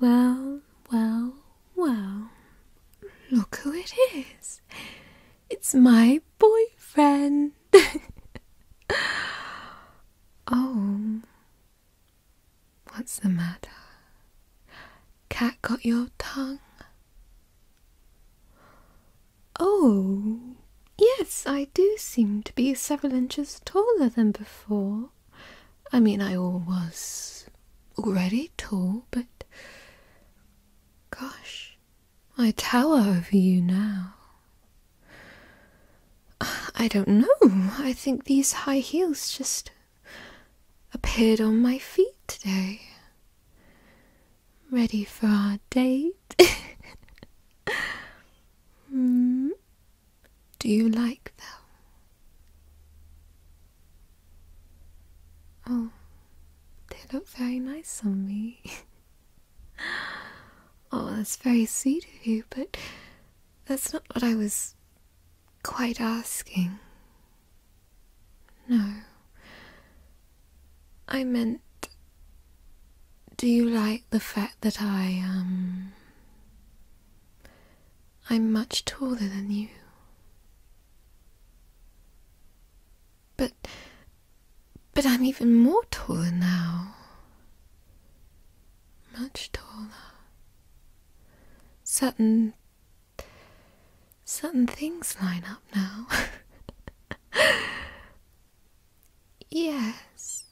Well, well, well. Look who it is. It's my boyfriend. oh. What's the matter? Cat got your tongue? Oh, yes, I do seem to be several inches taller than before. I mean, I was already tall, but gosh, I tower over you now. I don't know. I think these high heels just appeared on my feet today. Ready for our date? Hmm. Do you like them? Oh, they look very nice on me. oh, that's very sweet of you, but that's not what I was quite asking. No, I meant, do you like the fact that I, am? Um, I'm much taller than you? But, but I'm even more taller now. Much taller. Certain, certain things line up now. Yes.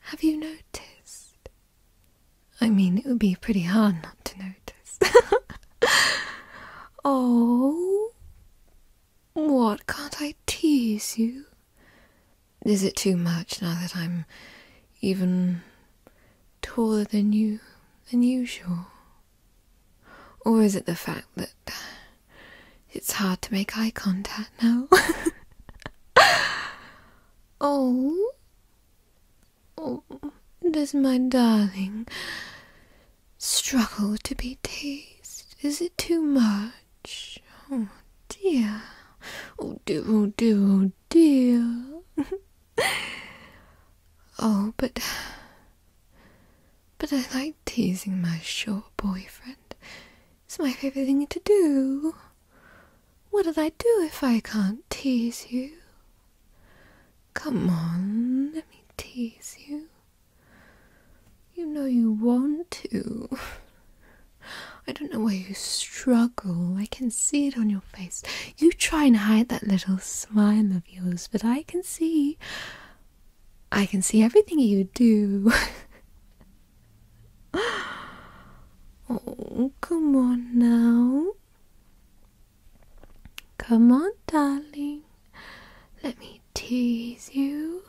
Have you noticed? I mean, it would be pretty hard not to notice. oh. What? Can't I tease you? Is it too much now that I'm even taller than you than usual? Or is it the fact that it's hard to make eye contact now. oh, oh, does my darling struggle to be teased? Is it too much? Oh dear, oh dear, oh dear, oh dear. oh, but but I like teasing my short boyfriend. It's my favorite thing to do. What'll I do if I can't tease you? Come on, let me tease you. You know you want to. I don't know why you struggle. I can see it on your face. You try and hide that little smile of yours, but I can see I can see everything you do. oh, come on now. Come on, darling. Let me tease you.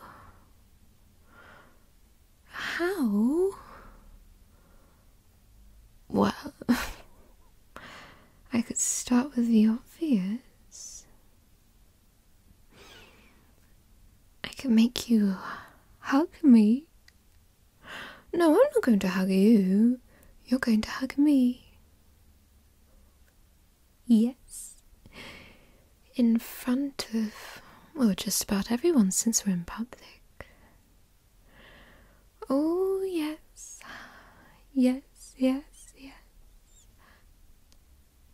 How? Well, I could start with the obvious. I can make you hug me. No, I'm not going to hug you. You're going to hug me. Yes. In front of, well, just about everyone since we're in public. Oh, yes, yes, yes, yes.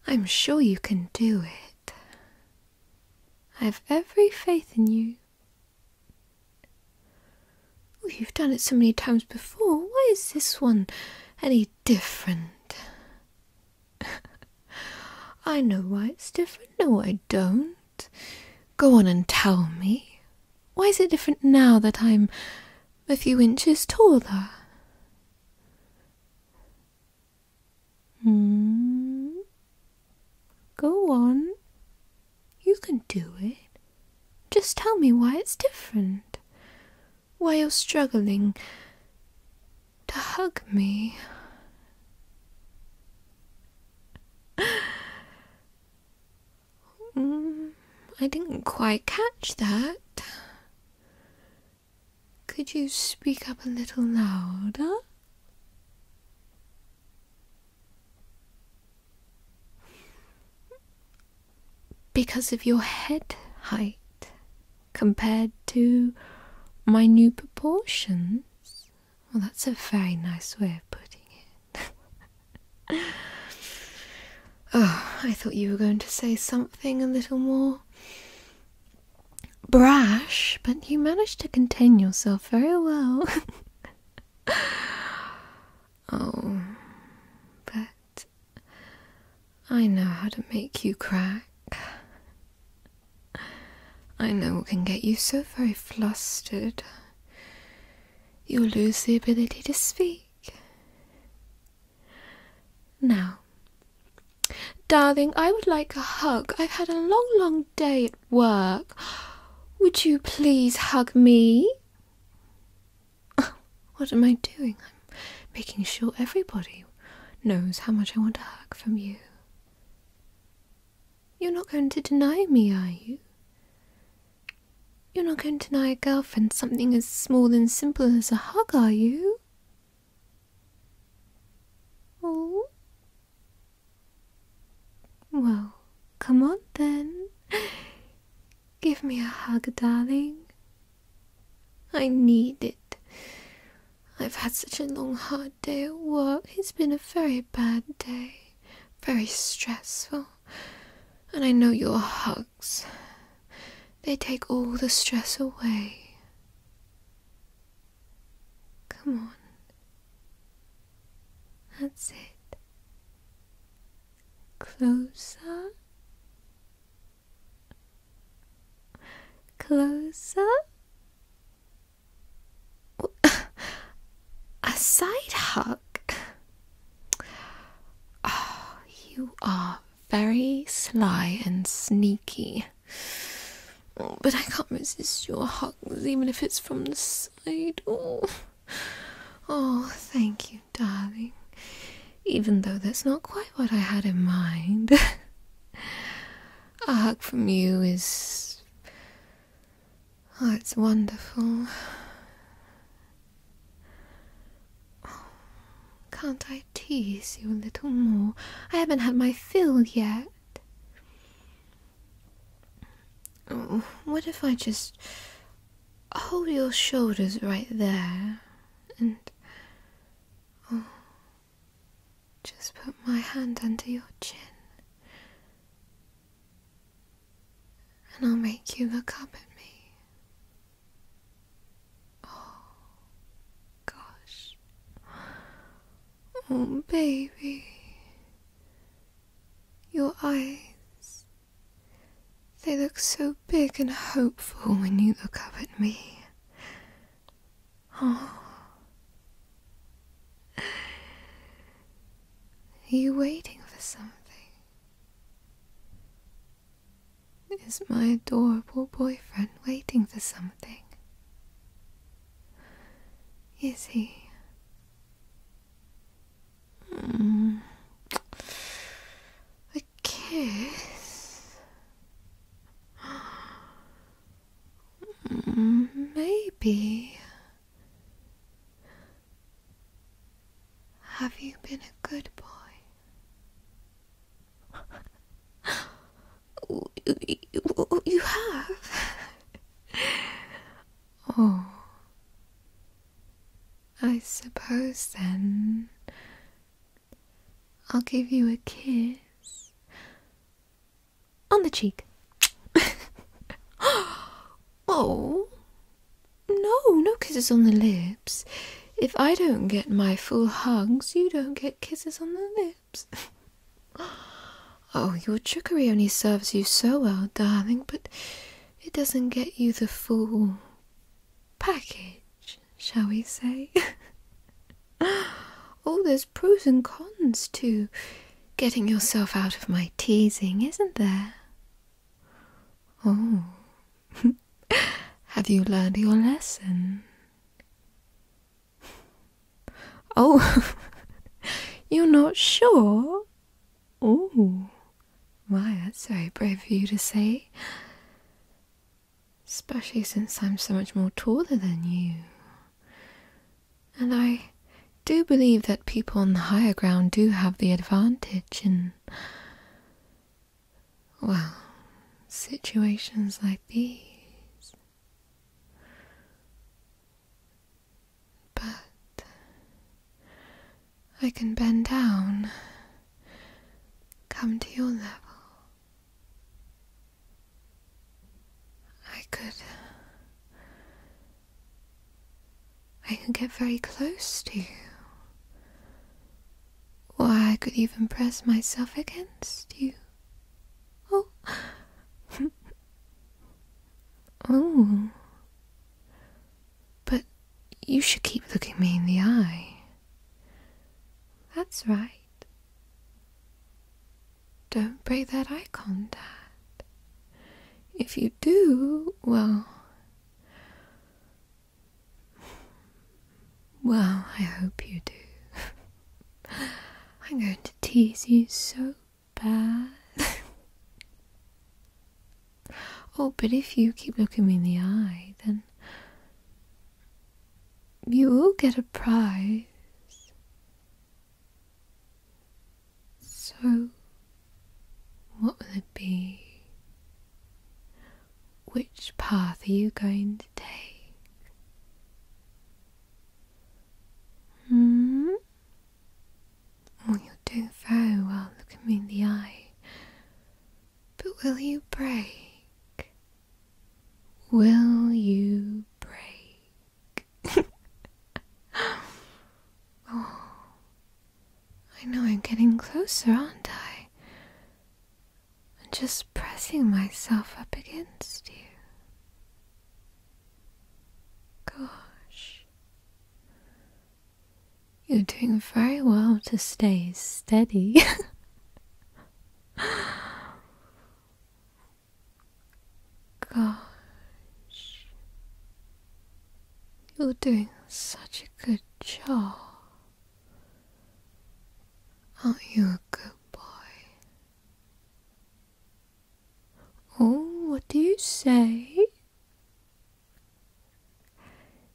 I'm sure you can do it. I've every faith in you. Oh, you've done it so many times before. Why is this one any different? I know why it's different. No, I don't. Go on and tell me. Why is it different now that I'm a few inches taller. Mm. Go on. You can do it. Just tell me why it's different. Why you're struggling to hug me. Mm, I didn't quite catch that. Could you speak up a little louder? Because of your head height compared to my new proportions? Well, that's a very nice way of putting it. oh, I thought you were going to say something a little more brash, but you managed to contain yourself very well. oh, but I know how to make you crack. I know what can get you so very flustered you'll lose the ability to speak. Now, darling, I would like a hug. I've had a long, long day at work. Would you please hug me? What am I doing? I'm making sure everybody knows how much I want a hug from you. You're not going to deny me, are you? You're not going to deny a girlfriend something as small and simple as a hug, are you? Oh. Well, come on then. Give me a hug, darling. I need it. I've had such a long, hard day at work. It's been a very bad day very stressful, and I know your hugs. They take all the stress away. Come on. That's it. Closer. Closer. A side hug? Oh, you are very sly and sneaky. but I can't resist your hugs, even if it's from the side. Oh, oh thank you, darling. Even though that's not quite what I had in mind. A hug from you is Oh, it's wonderful. Oh, can't I tease you a little more? I haven't had my fill yet. Oh, what if I just hold your shoulders right there and oh, just put my hand under your chin? and I'll make you look up at me. Oh, gosh. Oh, baby. Your eyes. They look so big and hopeful when you look up at me. Oh, are you waiting for something? Is my adorable boyfriend waiting for something? Is he? Hmm. A kiss? Maybe. Have you been a good boy? you have? oh. I suppose then I'll give you a kiss on the cheek. oh, no, no kisses on the lips. If I don't get my full hugs, you don't get kisses on the lips. oh, your trickery only serves you so well, darling, but it doesn't get you the full package, shall we say? Oh, there's pros and cons to getting yourself out of my teasing, isn't there? Oh, have you learned your lesson? Oh, you're not sure? Oh, why, that's very brave of you to say. Especially since I'm so much more taller than you. And I do believe that people on the higher ground do have the advantage in, well, situations like these. But I can bend down, come to your level. I could. I could get very close to you. Or I could even press myself against you. Oh. oh. But you should keep looking me in the eye. That's right. Don't break that eye contact. If you do, well, well, I hope you do. I'm going to tease you so bad. oh, but if you keep looking me in the eye, then you will get a prize. So, what will it be? Which path are you going to take? Hmm? Oh, you're doing very well. Look at me in the eye. But will you break? Will you break? Oh, I know I'm getting closer, aren't I? I'm just pressing myself up against you. Gosh. You're doing very well to stay steady. Gosh. You're doing such a good job. Aren't you a good boy? Oh, what do you say?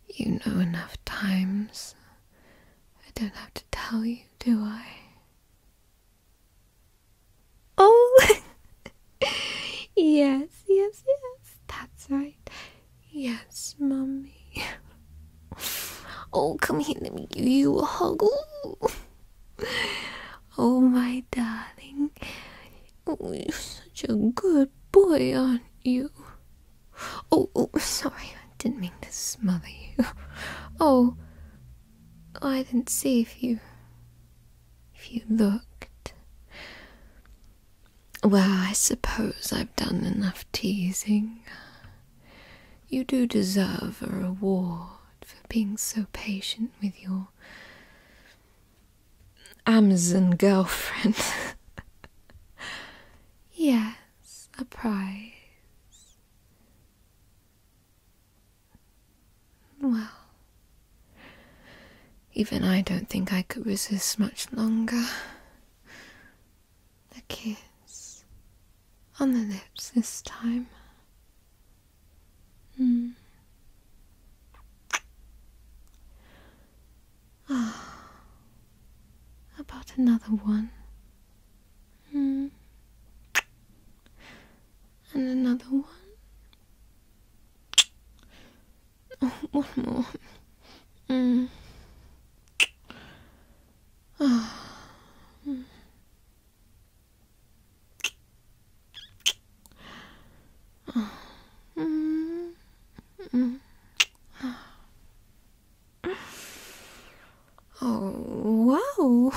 You know enough times I don't have to tell you, do I? Oh! yes, yes, yes. That's right. Yes, Mommy. oh, come here, let me give you a hug. Oh, my darling. Oh, you're such a good boy, aren't you? Oh, oh, sorry, I didn't mean to smother you. Oh, I didn't see if you. if you looked. Well, I suppose I've done enough teasing. You do deserve a reward for being so patient with your Amazon girlfriend. Yeah a prize. Well, even I don't think I could resist much longer. The kiss on the lips this time. Mm. Ah, about another one. Hmm. And another one. Oh, one more. Mm. Ah. Mm. Ah. Mm. Mm. Oh, wow.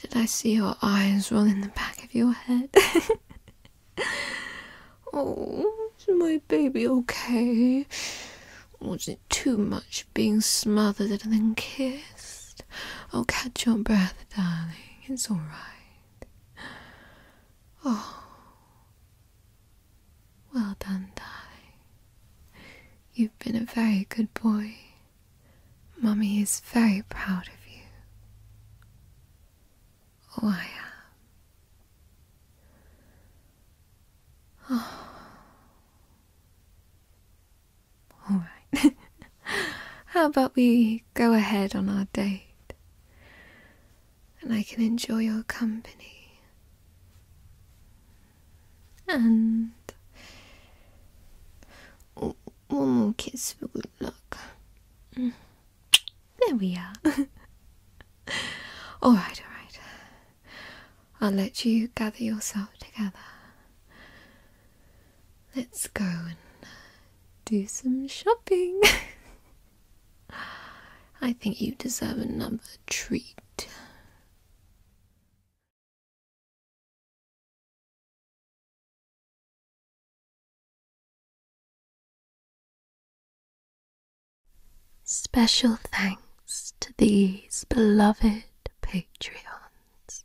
Did I see your eyes roll in the back of your head? oh, is my baby okay? Was it too much being smothered and then kissed? Oh, catch your breath, darling. It's all right. Oh, well done, Di. You've been a very good boy. Mummy is very proud of you. Oh, I am. Oh. All right. How about we go ahead on our date? and I can enjoy your company. And one more kiss for good luck. Mm. There we are. alright, alright. I'll let you gather yourself together. Let's go and do some shopping. I think you deserve another treat. Special thanks to these beloved patrons.